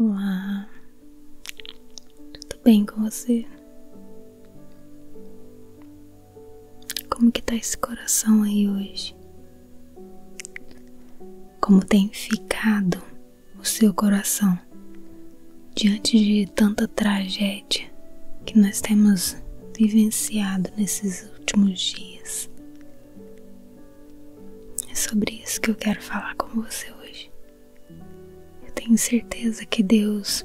Olá, tudo bem com você? Como que tá esse coração aí hoje? Como tem ficado? o seu coração diante de tanta tragédia que nós temos vivenciado nesses últimos dias. É sobre isso que eu quero falar com você hoje. Eu tenho certeza que Deus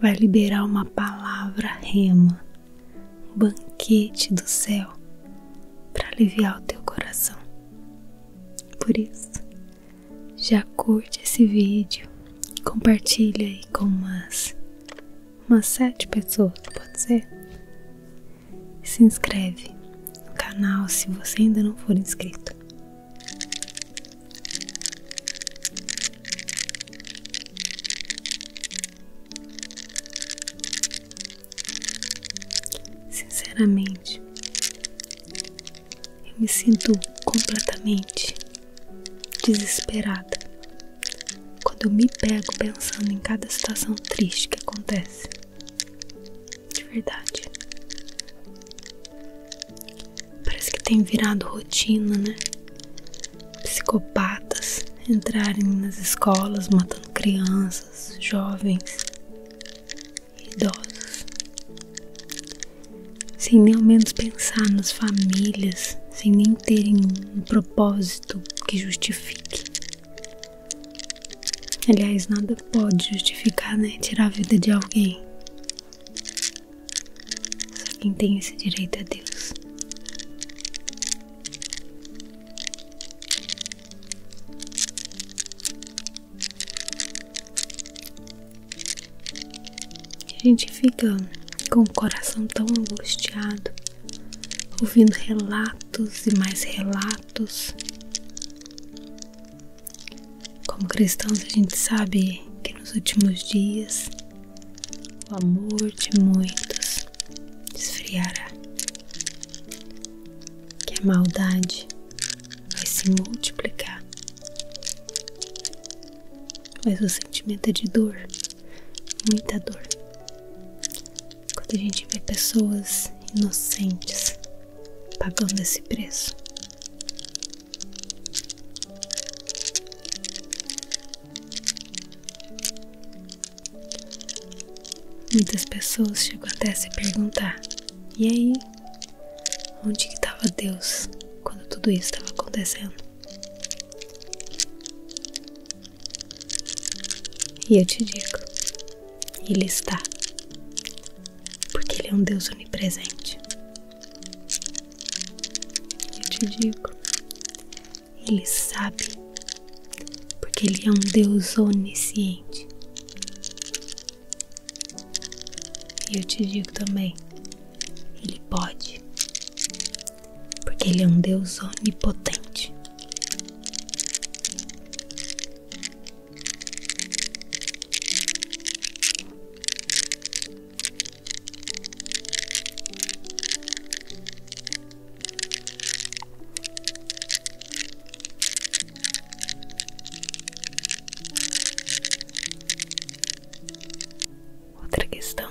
vai liberar uma palavra rema, um banquete do céu para aliviar o teu coração. Por isso, já curte esse vídeo, compartilha aí com umas, umas sete pessoas, pode ser? E se inscreve no canal se você ainda não for inscrito. Sinceramente, eu me sinto completamente desesperada quando eu me pego pensando em cada situação triste que acontece. De verdade. Parece que tem virado rotina, né? Psicopatas entrarem nas escolas matando crianças, jovens, idosos, sem nem ao menos pensar nas famílias, sem nem terem um propósito que justifique. Aliás, nada pode justificar, né? Tirar a vida de alguém. Só quem tem esse direito é Deus. A gente fica com o coração tão angustiado, ouvindo relatos e mais relatos. Como cristãos, a gente sabe que nos últimos dias o amor de muitos esfriará, que a maldade vai se multiplicar. Mas o sentimento é de dor, muita dor. Quando a gente vê pessoas inocentes pagando esse preço. Muitas pessoas chegam até se perguntar: e aí? Onde que estava Deus quando tudo isso estava acontecendo? E eu te digo, Ele está, porque Ele é um Deus onipresente. Eu te digo, Ele sabe, porque Ele é um Deus onisciente. E eu te digo também, ele pode, porque ele é um Deus onipotente. Outra questão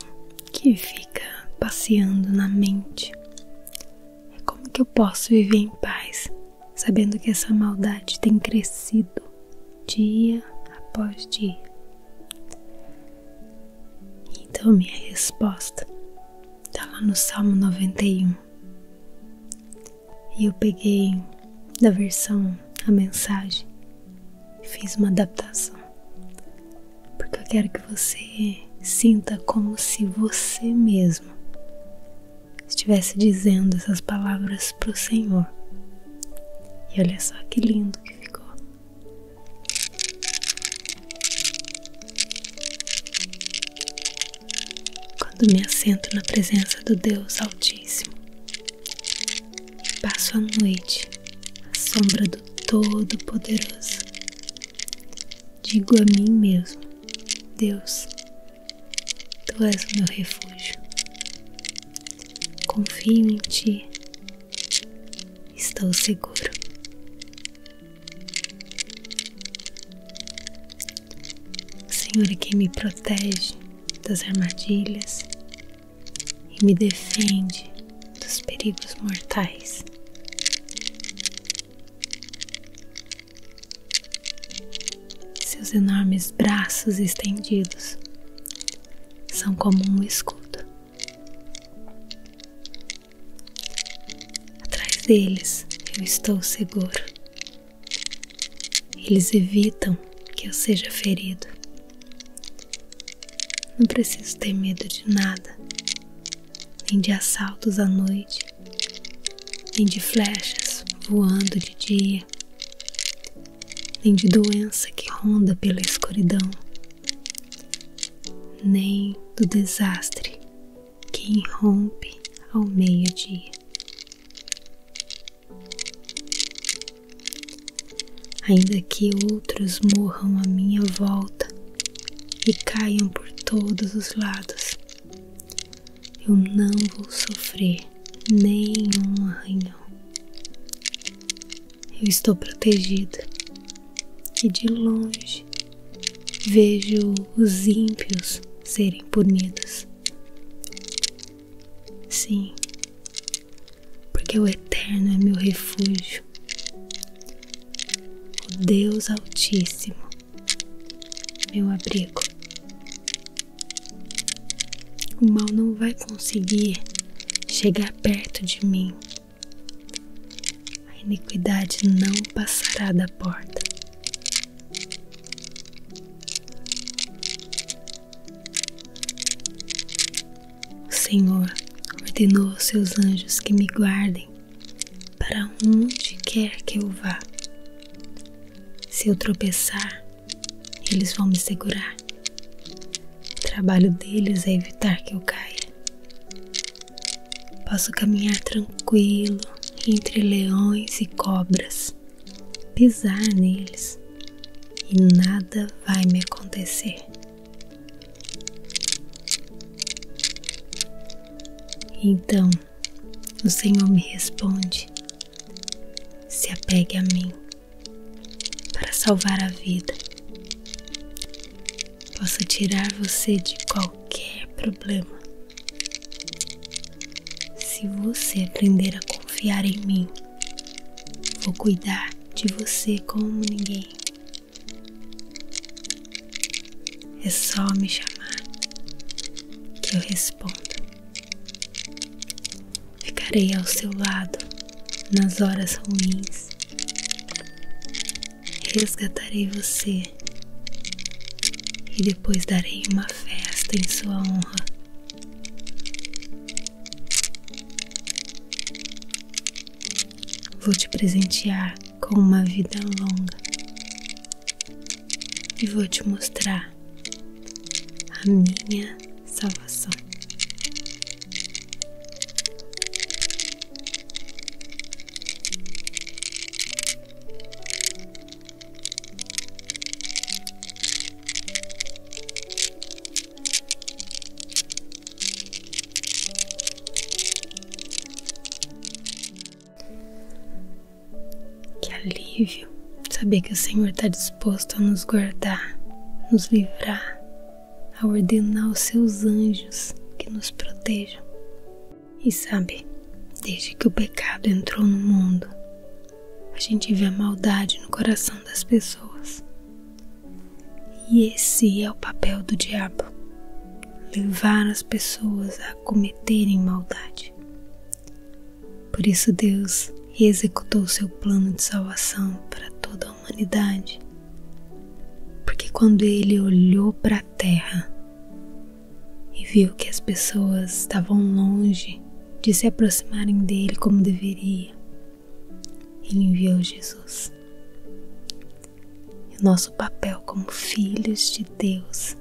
que fica passeando na mente é como que eu posso viver em paz sabendo que essa maldade tem crescido dia após dia. Então minha resposta está lá no Salmo 91 e eu peguei da versão a mensagem e fiz uma adaptação. Porque eu quero que você sinta como se você mesmo estivesse dizendo essas palavras para o Senhor. E olha só que lindo que ficou. Quando me assento na presença do Deus Altíssimo, Passo a noite à sombra do Todo-Poderoso. Digo a mim mesmo: Deus, Tu és o meu refúgio. Confio em Ti. Estou seguro. Senhor é quem me protege das armadilhas e me defende dos perigos mortais. Seus enormes braços estendidos são como um escudo. Atrás deles eu estou seguro. Eles evitam que eu seja ferido. Não preciso ter medo de nada, nem de assaltos à noite, nem de flechas voando de dia, nem de doença que ronda pela escuridão, nem do desastre que irrompe ao meio-dia. Ainda que outros morram à minha volta e caiam por todos os lados, eu não vou sofrer nenhum arranhão. Eu estou protegido e de longe vejo os ímpios serem punidos. Sim, porque o Eterno é meu refúgio, o Deus Altíssimo, meu abrigo. O mal não vai conseguir chegar perto de mim, a iniquidade não passará da porta. O Senhor ordenou aos seus anjos que me guardem para onde quer que eu vá. Se eu tropeçar, eles vão me segurar. O trabalho deles é evitar que eu caia. Posso caminhar tranquilo entre leões e cobras pisar neles e nada vai me acontecer. Então o Senhor me responde: se apegue a mim para salvar a vida. Posso tirar você de qualquer problema se você aprender a confiar em mim Vou cuidar de você como ninguém. É só me chamar que eu respondo. Ficarei ao seu lado nas horas ruins. Resgatarei você e depois darei uma festa em sua honra. Vou te presentear com uma vida longa e vou te mostrar a minha salvação. Que alívio saber que o Senhor está disposto a nos guardar, nos livrar, a ordenar os seus anjos que nos protejam. E sabe, desde que o pecado entrou no mundo, a gente vê a maldade no coração das pessoas. E esse é o papel do diabo: levar as pessoas a cometerem maldade. Por isso, Deus executou seu plano de salvação para toda a humanidade. Porque quando ele olhou para a terra e viu que as pessoas estavam longe de se aproximarem dele como deveria, ele enviou Jesus. nosso papel como filhos de Deus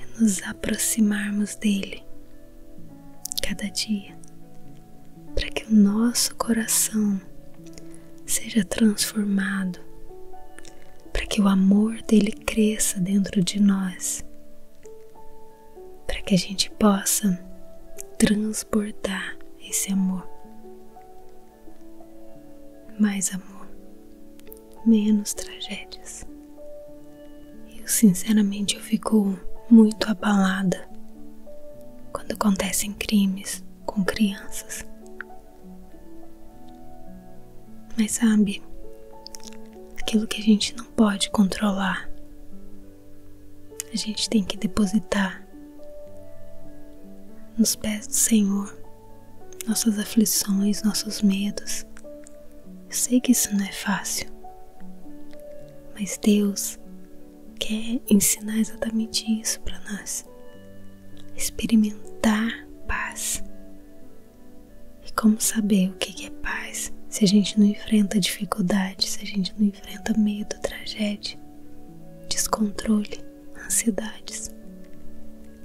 é nos aproximarmos dele cada dia, para que o nosso coração seja transformado, para que o amor dele cresça dentro de nós para que a gente possa transbordar esse amor. Mais amor, menos tragédias. Eu sinceramente eu fico muito abalada quando acontecem crimes com crianças. Mas sabe, aquilo que a gente não pode controlar a gente tem que depositar nos pés do Senhor nossas aflições, nossos medos. Eu sei que isso não é fácil, mas Deus quer ensinar exatamente isso para nós. Experimentar paz. E como saber o que é paz se a gente não enfrenta dificuldades, se a gente não enfrenta medo, tragédia, descontrole, ansiedades.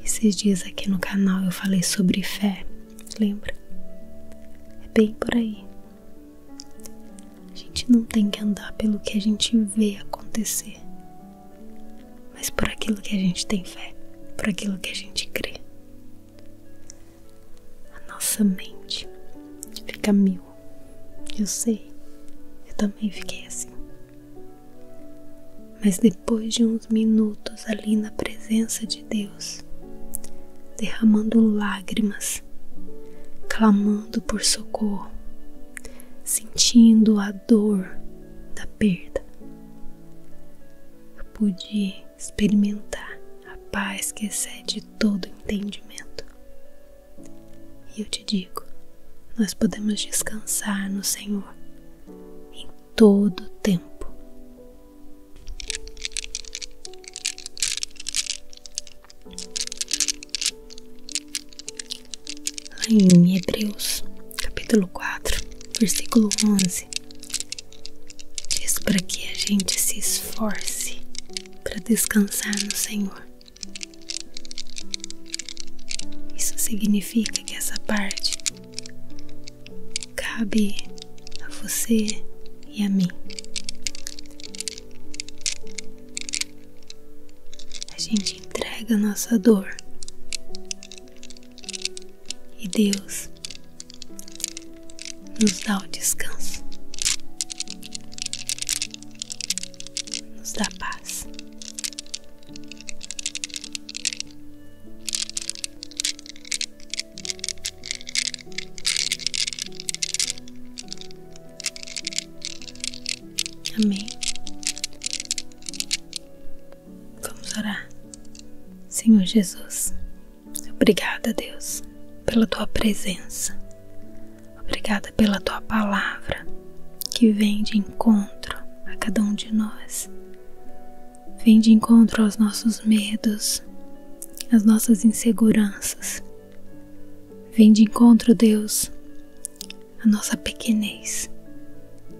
Esses dias aqui no canal eu falei sobre fé, lembra? É bem por aí. A gente não tem que andar pelo que a gente vê acontecer, mas por aquilo que a gente tem fé, por aquilo que a gente crê. A nossa mente fica mil. Eu sei, eu também fiquei assim. Mas depois de uns minutos ali na presença de Deus, derramando lágrimas, clamando por socorro, sentindo a dor da perda, eu pude experimentar a paz que excede todo entendimento. E eu te digo, nós podemos descansar no Senhor em todo tempo. Lá em Hebreus, capítulo 4, versículo 11, diz para que a gente se esforce para descansar no Senhor. Isso significa que essa parte cabe a você e a mim. A gente entrega a nossa dor e Deus nos dá o descanso, nos dá paz. Amém. Vamos orar, Senhor Jesus. Obrigada, Deus, pela tua presença. Obrigada pela tua palavra que vem de encontro a cada um de nós. Vem de encontro aos nossos medos, às nossas inseguranças. Vem de encontro, Deus, à nossa pequenez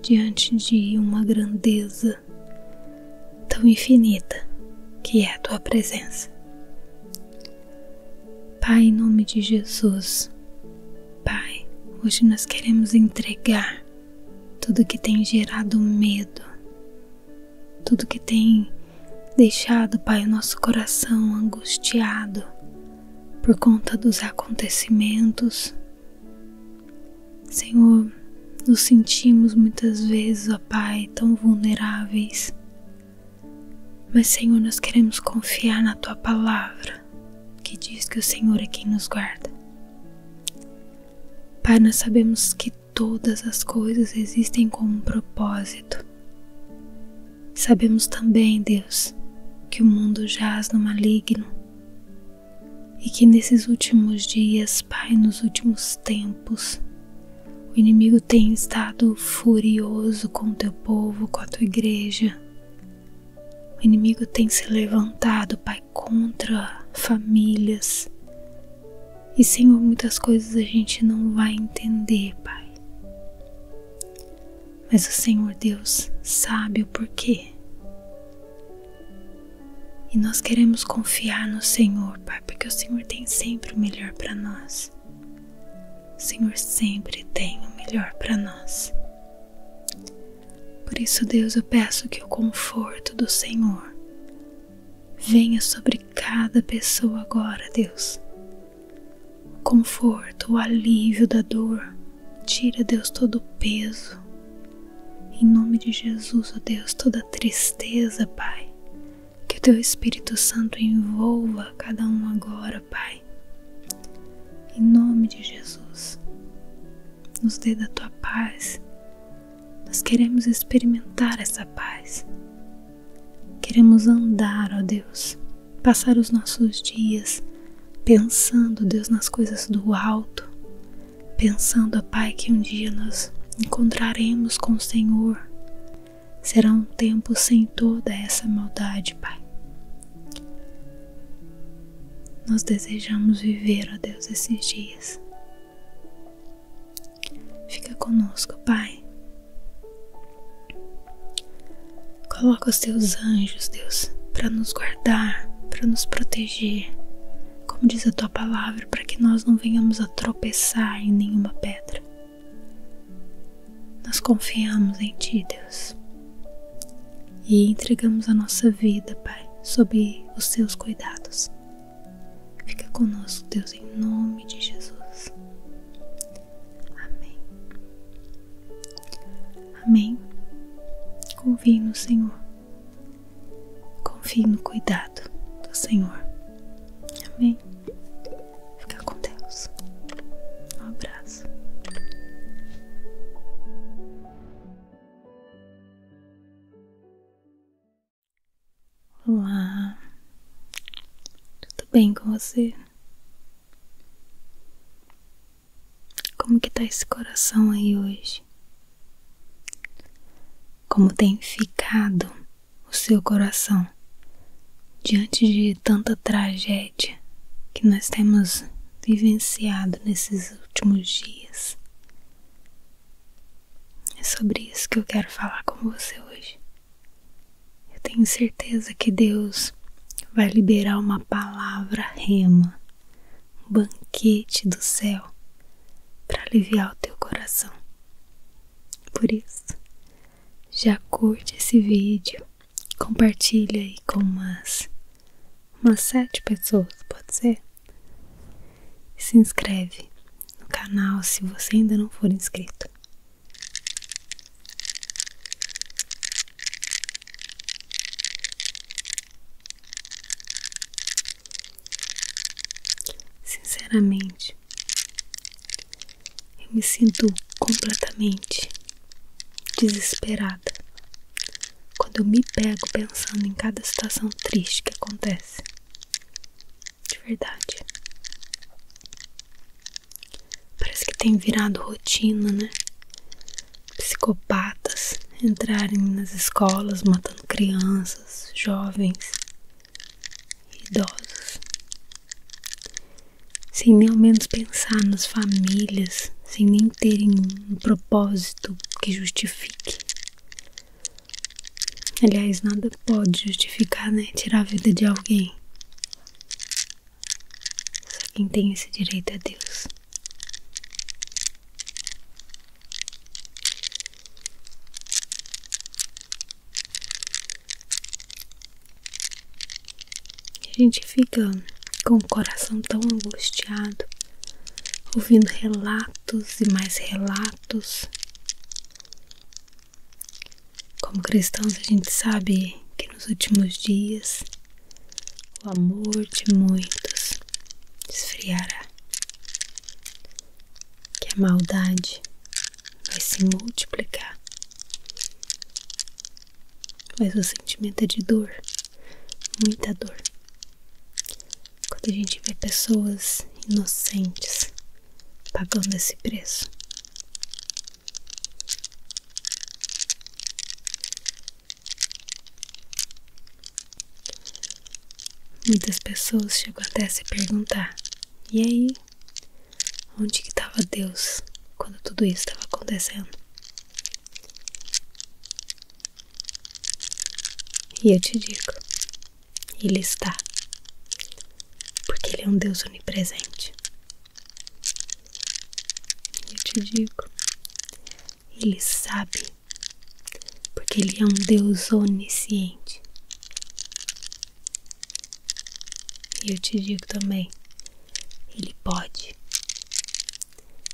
diante de uma grandeza tão infinita que é a tua presença. Pai, em nome de Jesus, Pai, hoje nós queremos entregar tudo que tem gerado medo, tudo que tem deixado, Pai, o nosso coração angustiado por conta dos acontecimentos. Senhor, nos sentimos muitas vezes, ó Pai, tão vulneráveis, mas, Senhor, nós queremos confiar na tua palavra, que diz que o Senhor é quem nos guarda. Pai, nós sabemos que todas as coisas existem com um propósito. Sabemos também, Deus, que o mundo jaz no maligno e que nesses últimos dias, Pai, nos últimos tempos, o inimigo tem estado furioso com teu povo, com a tua igreja. O inimigo tem se levantado, Pai, contra famílias. E, Senhor, muitas coisas a gente não vai entender, Pai. Mas o Senhor Deus sabe o porquê. E nós queremos confiar no Senhor, Pai, porque o Senhor tem sempre o melhor para nós. Senhor sempre tem o melhor para nós. Por isso, Deus, eu peço que o conforto do Senhor venha sobre cada pessoa agora, Deus. O conforto, o alívio da dor. Tira, Deus, todo o peso. Em nome de Jesus, ó Deus, toda tristeza, Pai. Que o teu Espírito Santo envolva cada um agora, Pai. Em nome de Jesus, nos dê da tua paz. Nós queremos experimentar essa paz. Queremos andar, ó Deus, passar os nossos dias pensando, Deus, nas coisas do alto, pensando, ó Pai, que um dia nós encontraremos com o Senhor, será um tempo sem toda essa maldade, Pai. Nós desejamos viver, ó Deus, esses dias. Fica conosco, Pai. Coloca os teus anjos, Deus, para nos guardar, para nos proteger, como diz a tua palavra, para que nós não venhamos a tropeçar em nenhuma pedra. Nós confiamos em Ti, Deus, e entregamos a nossa vida, Pai, sob os Teus cuidados. Fica conosco, Deus, em nome de Jesus. Amém. Amém. Confie no Senhor. Confie no cuidado do Senhor. Amém. Fica com Deus. Um abraço. Olá. Tudo bem com você? Como que tá esse coração aí hoje? Como tem ficado o seu coração diante de tanta tragédia que nós temos vivenciado nesses últimos dias. É sobre isso que eu quero falar com você hoje. Eu tenho certeza que Deus vai liberar uma palavra rema, um banquete do céu para aliviar o teu coração. Por isso, já curte esse vídeo, compartilha aí com umas, umas sete pessoas, pode ser? E se inscreve no canal se você ainda não for inscrito. Sinceramente, eu me sinto completamente desesperada quando eu me pego pensando em cada situação triste que acontece. De verdade. Parece que tem virado rotina, né? Psicopatas entrarem nas escolas matando crianças, jovens, idosos, sem nem ao menos pensar nas famílias, sem nem terem um propósito que justifique. Aliás, nada pode justificar, né? Tirar a vida de alguém. Só quem tem esse direito é Deus. A gente fica com o coração tão angustiado, ouvindo relatos e mais relatos. Como cristãos, a gente sabe que nos últimos dias o amor de muitos desfriará, que a maldade vai se multiplicar. Mas o sentimento é de dor, muita dor. Quando a gente vê pessoas inocentes pagando esse preço. Muitas pessoas chegam até a se perguntar: e aí, Onde que estava Deus quando tudo isso estava acontecendo? E eu te digo, Ele está, porque Ele é um Deus onipresente. Eu te digo, Ele sabe, porque Ele é um Deus onisciente. E eu te digo também, ele pode,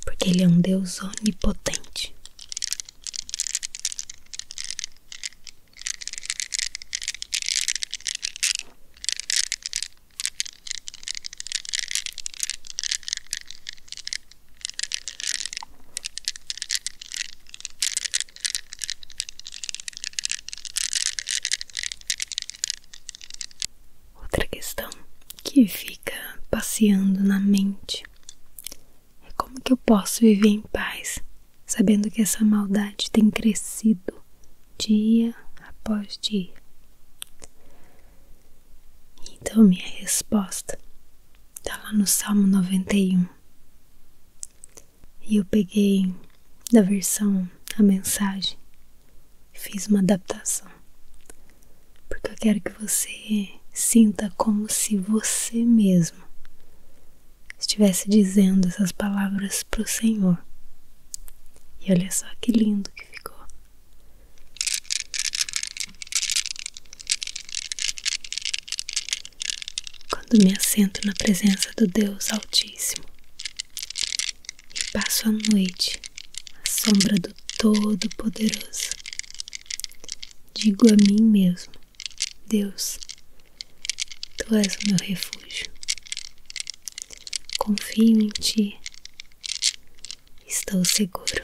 porque ele é um Deus onipotente. Outra questão que fica passeando na mente é como que eu posso viver em paz, sabendo que essa maldade tem crescido dia após dia. Então, minha resposta está lá no Salmo 91. E eu peguei da versão a mensagem, e fiz uma adaptação. Porque eu quero que você sinta como se você mesmo estivesse dizendo essas palavras para o Senhor. E olha só que lindo que ficou. Quando me assento na presença do Deus Altíssimo, e passo a noite à sombra do Todo-Poderoso. Digo a mim mesmo: Deus, tu és o meu refúgio. Confio em ti, e estou seguro.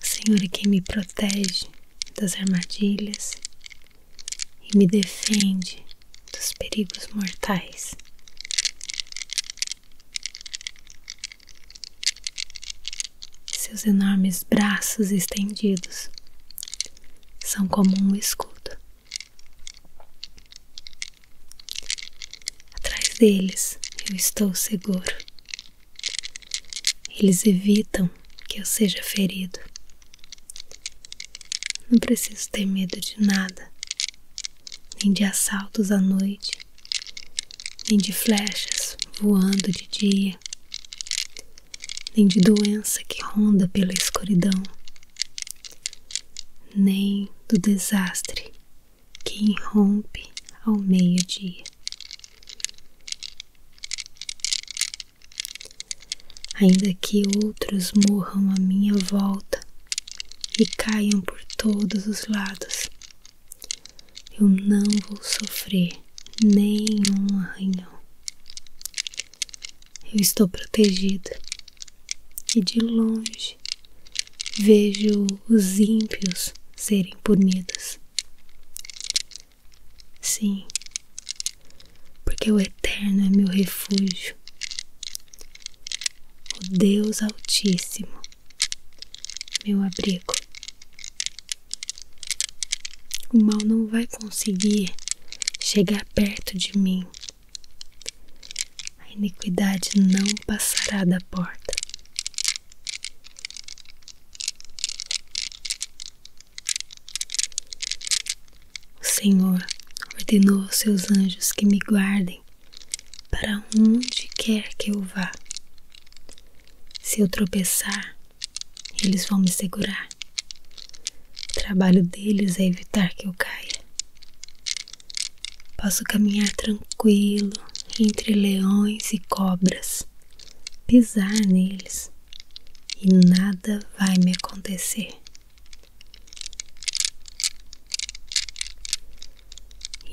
Senhor é quem me protege das armadilhas e me defende dos perigos mortais. Seus enormes braços estendidos são como um escudo. Atrás deles eu estou seguro. Eles evitam que eu seja ferido. Não preciso ter medo de nada, nem de assaltos à noite, nem de flechas voando de dia, nem de doença que ronda pela escuridão, nem do desastre que irrompe ao meio-dia ainda que outros morram à minha volta e caiam por todos os lados. Eu não vou sofrer nenhum arranhão. Eu estou protegido e de longe vejo os ímpios serem punidos. Sim, porque o Eterno é meu refúgio, o Deus Altíssimo, meu abrigo. O mal não vai conseguir chegar perto de mim, a iniquidade não passará da porta. O Senhor ordenou aos seus anjos que me guardem para onde quer que eu vá. Se eu tropeçar, eles vão me segurar. O trabalho deles é evitar que eu caia. Posso caminhar tranquilo entre leões e cobras pisar neles e nada vai me acontecer.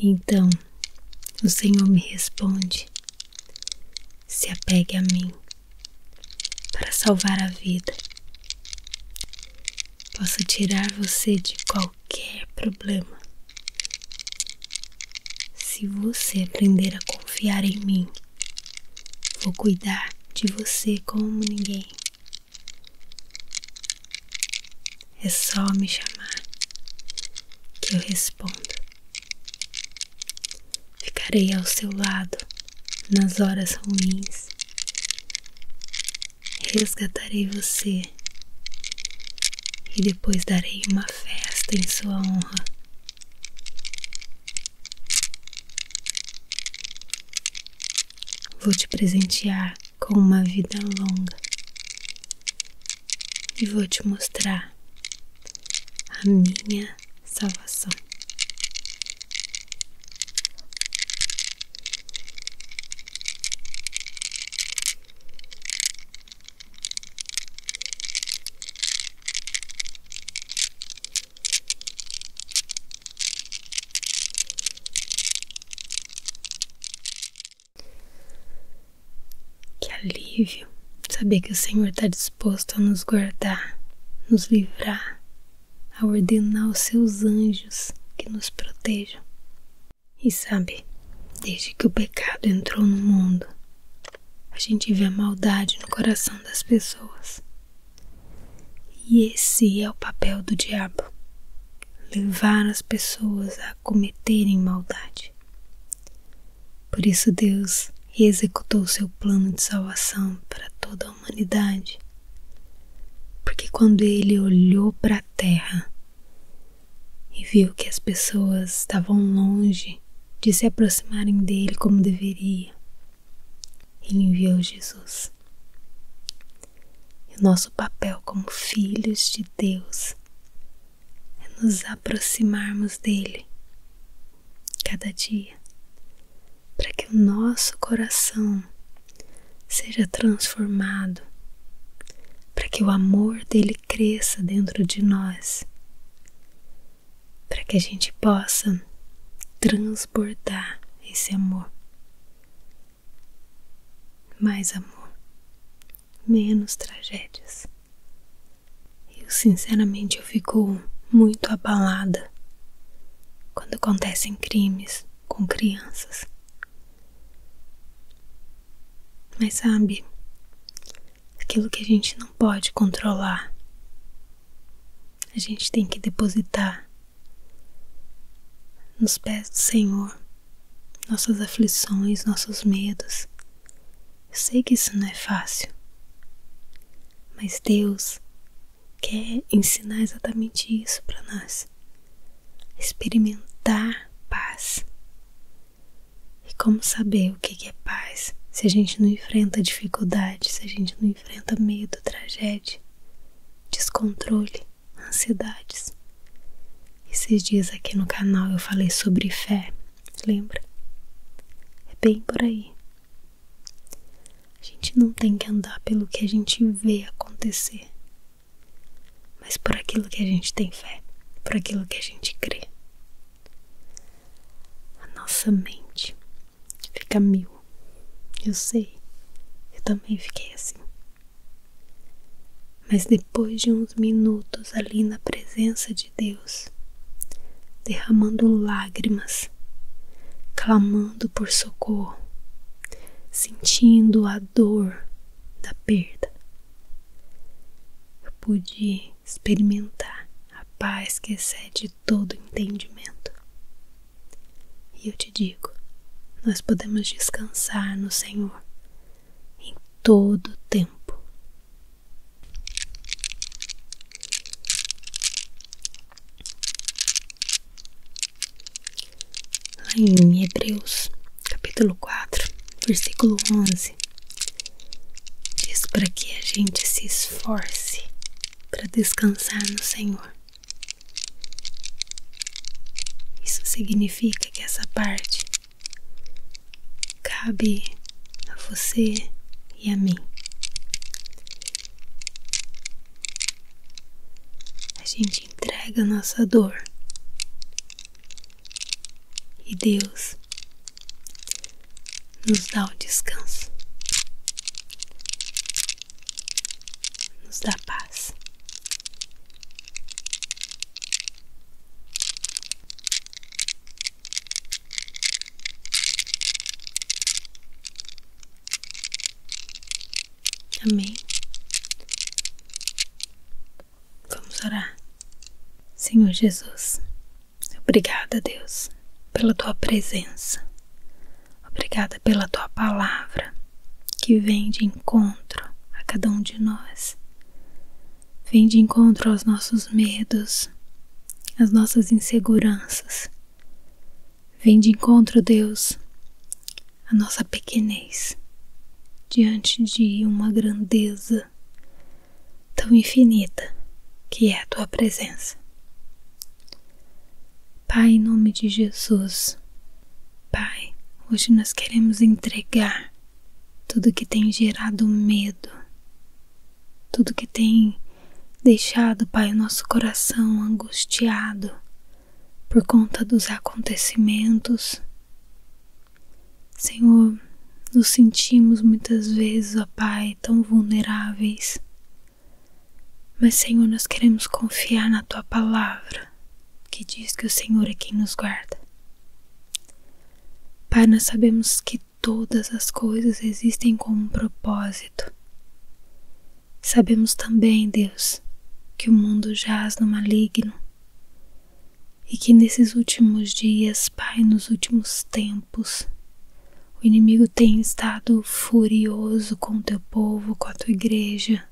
Então o Senhor me responde: se apegue a mim para salvar a vida. Posso tirar você de qualquer problema se você aprender a confiar em mim. Vou cuidar de você como ninguém. É só me chamar que eu respondo. Ficarei ao seu lado nas horas ruins. Resgatarei você e depois darei uma festa em sua honra. Vou te presentear com uma vida longa e vou te mostrar a minha salvação. Que alívio saber que o Senhor está disposto a nos guardar, nos livrar, a ordenar os seus anjos que nos protejam. E sabe, desde que o pecado entrou no mundo, a gente vê a maldade no coração das pessoas. E esse é o papel do diabo: levar as pessoas a cometerem maldade. Por isso, Deus executou seu plano de salvação para toda a humanidade. Porque quando ele olhou para a terra e viu que as pessoas estavam longe de se aproximarem dele como deveria. Ele enviou Jesus. E nosso papel como filhos de Deus é nos aproximarmos dele cada dia, para que o nosso coração seja transformado, para que o amor dele cresça dentro de nós para que a gente possa transbordar esse amor. Mais amor, menos tragédias. Eu sinceramente eu fico muito abalada quando acontecem crimes com crianças. Mas sabe, aquilo que a gente não pode controlar. A gente tem que depositar nos pés do Senhor nossas aflições, nossos medos. Eu sei que isso não é fácil, mas Deus quer ensinar exatamente isso para nós. Experimentar paz. E como saber? o que é paz se a gente não enfrenta dificuldade, se a gente não enfrenta medo, tragédia, descontrole, ansiedades. Esses dias aqui no canal eu falei sobre fé, lembra? É bem por aí. A gente não tem que andar pelo que a gente vê acontecer, mas por aquilo que a gente tem fé, por aquilo que a gente crê. A nossa mente fica mil. Eu sei, eu também fiquei assim. Mas depois de uns minutos ali na presença de Deus, derramando lágrimas, clamando por socorro, sentindo a dor da perda, eu pude experimentar a paz que excede todo entendimento. E eu te digo, nós podemos descansar no Senhor em todo o tempo. em Hebreus, capítulo 4, versículo 11, diz para que a gente se esforce para descansar no Senhor. Isso significa que essa parte cabe a você e a mim. A gente entrega a nossa dor e Deus nos dá o descanso, nos dá paz. Amém. Vamos orar. Senhor Jesus, Obrigada, Deus, pela tua presença. Obrigada pela tua palavra que vem de encontro a cada um de nós. Vem de encontro aos nossos medos, às nossas inseguranças. Vem de encontro, Deus, à nossa pequenez diante de uma grandeza tão infinita que é a tua presença. Pai, em nome de Jesus, Pai, hoje nós queremos entregar tudo que tem gerado medo, tudo que tem deixado, Pai, o nosso coração angustiado por conta dos acontecimentos. Senhor, nos sentimos muitas vezes, ó Pai, tão vulneráveis, mas, Senhor, nós queremos confiar na tua palavra, que diz que o Senhor é quem nos guarda. Pai, nós sabemos que todas as coisas existem com um propósito. Sabemos também, Deus, que o mundo jaz no maligno e que nesses últimos dias, Pai, nos últimos tempos, o inimigo tem estado furioso com o teu povo, com a tua igreja.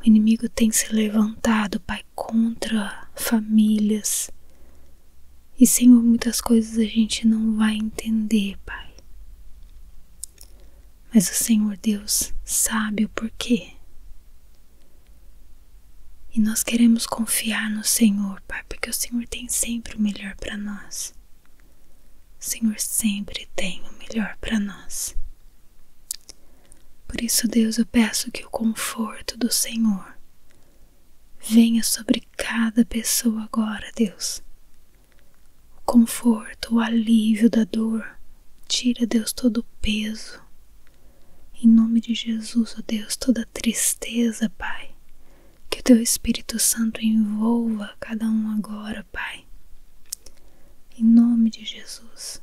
O inimigo tem se levantado, Pai, contra famílias. E, Senhor, muitas coisas a gente não vai entender, Pai. Mas o Senhor Deus sabe o porquê. E nós queremos confiar no Senhor, Pai, porque o Senhor tem sempre o melhor para nós. O Senhor sempre tem o melhor para nós. Por isso, Deus, eu peço que o conforto do Senhor venha sobre cada pessoa agora, Deus. O conforto, o alívio da dor. Tira, Deus, todo o peso. Em nome de Jesus, ó Deus, toda tristeza, Pai. Que o teu Espírito Santo envolva cada um agora, Pai. Em nome de Jesus,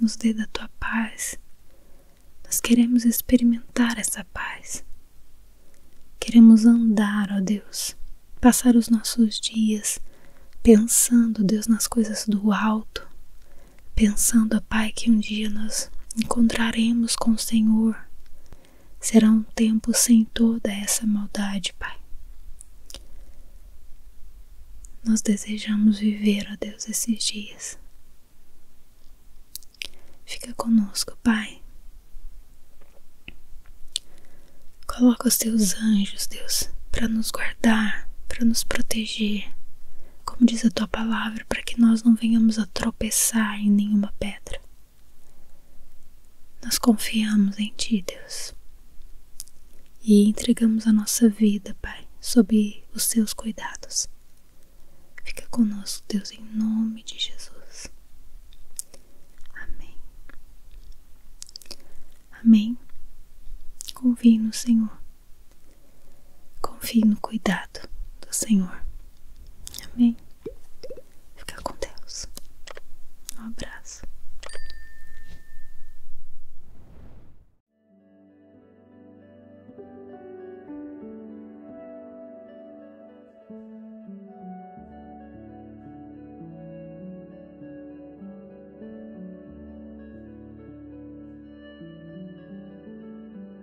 nos dê da tua paz. Nós queremos experimentar essa paz. Queremos andar, ó Deus, passar os nossos dias pensando, Deus, nas coisas do alto, pensando, ó Pai, que um dia nós encontraremos com o Senhor, Será um tempo sem toda essa maldade, Pai. Nós desejamos viver, ó Deus, esses dias. Fica conosco, Pai. Coloca os teus anjos, Deus, para nos guardar, para nos proteger, como diz a tua palavra, para que nós não venhamos a tropeçar em nenhuma pedra. Nós confiamos em Ti, Deus, e entregamos a nossa vida, Pai, sob os Teus cuidados. Fica conosco, Deus, em nome de Jesus. Amém. Amém. Confie no Senhor. Confie no cuidado do Senhor. Amém. Fica com Deus. Um abraço.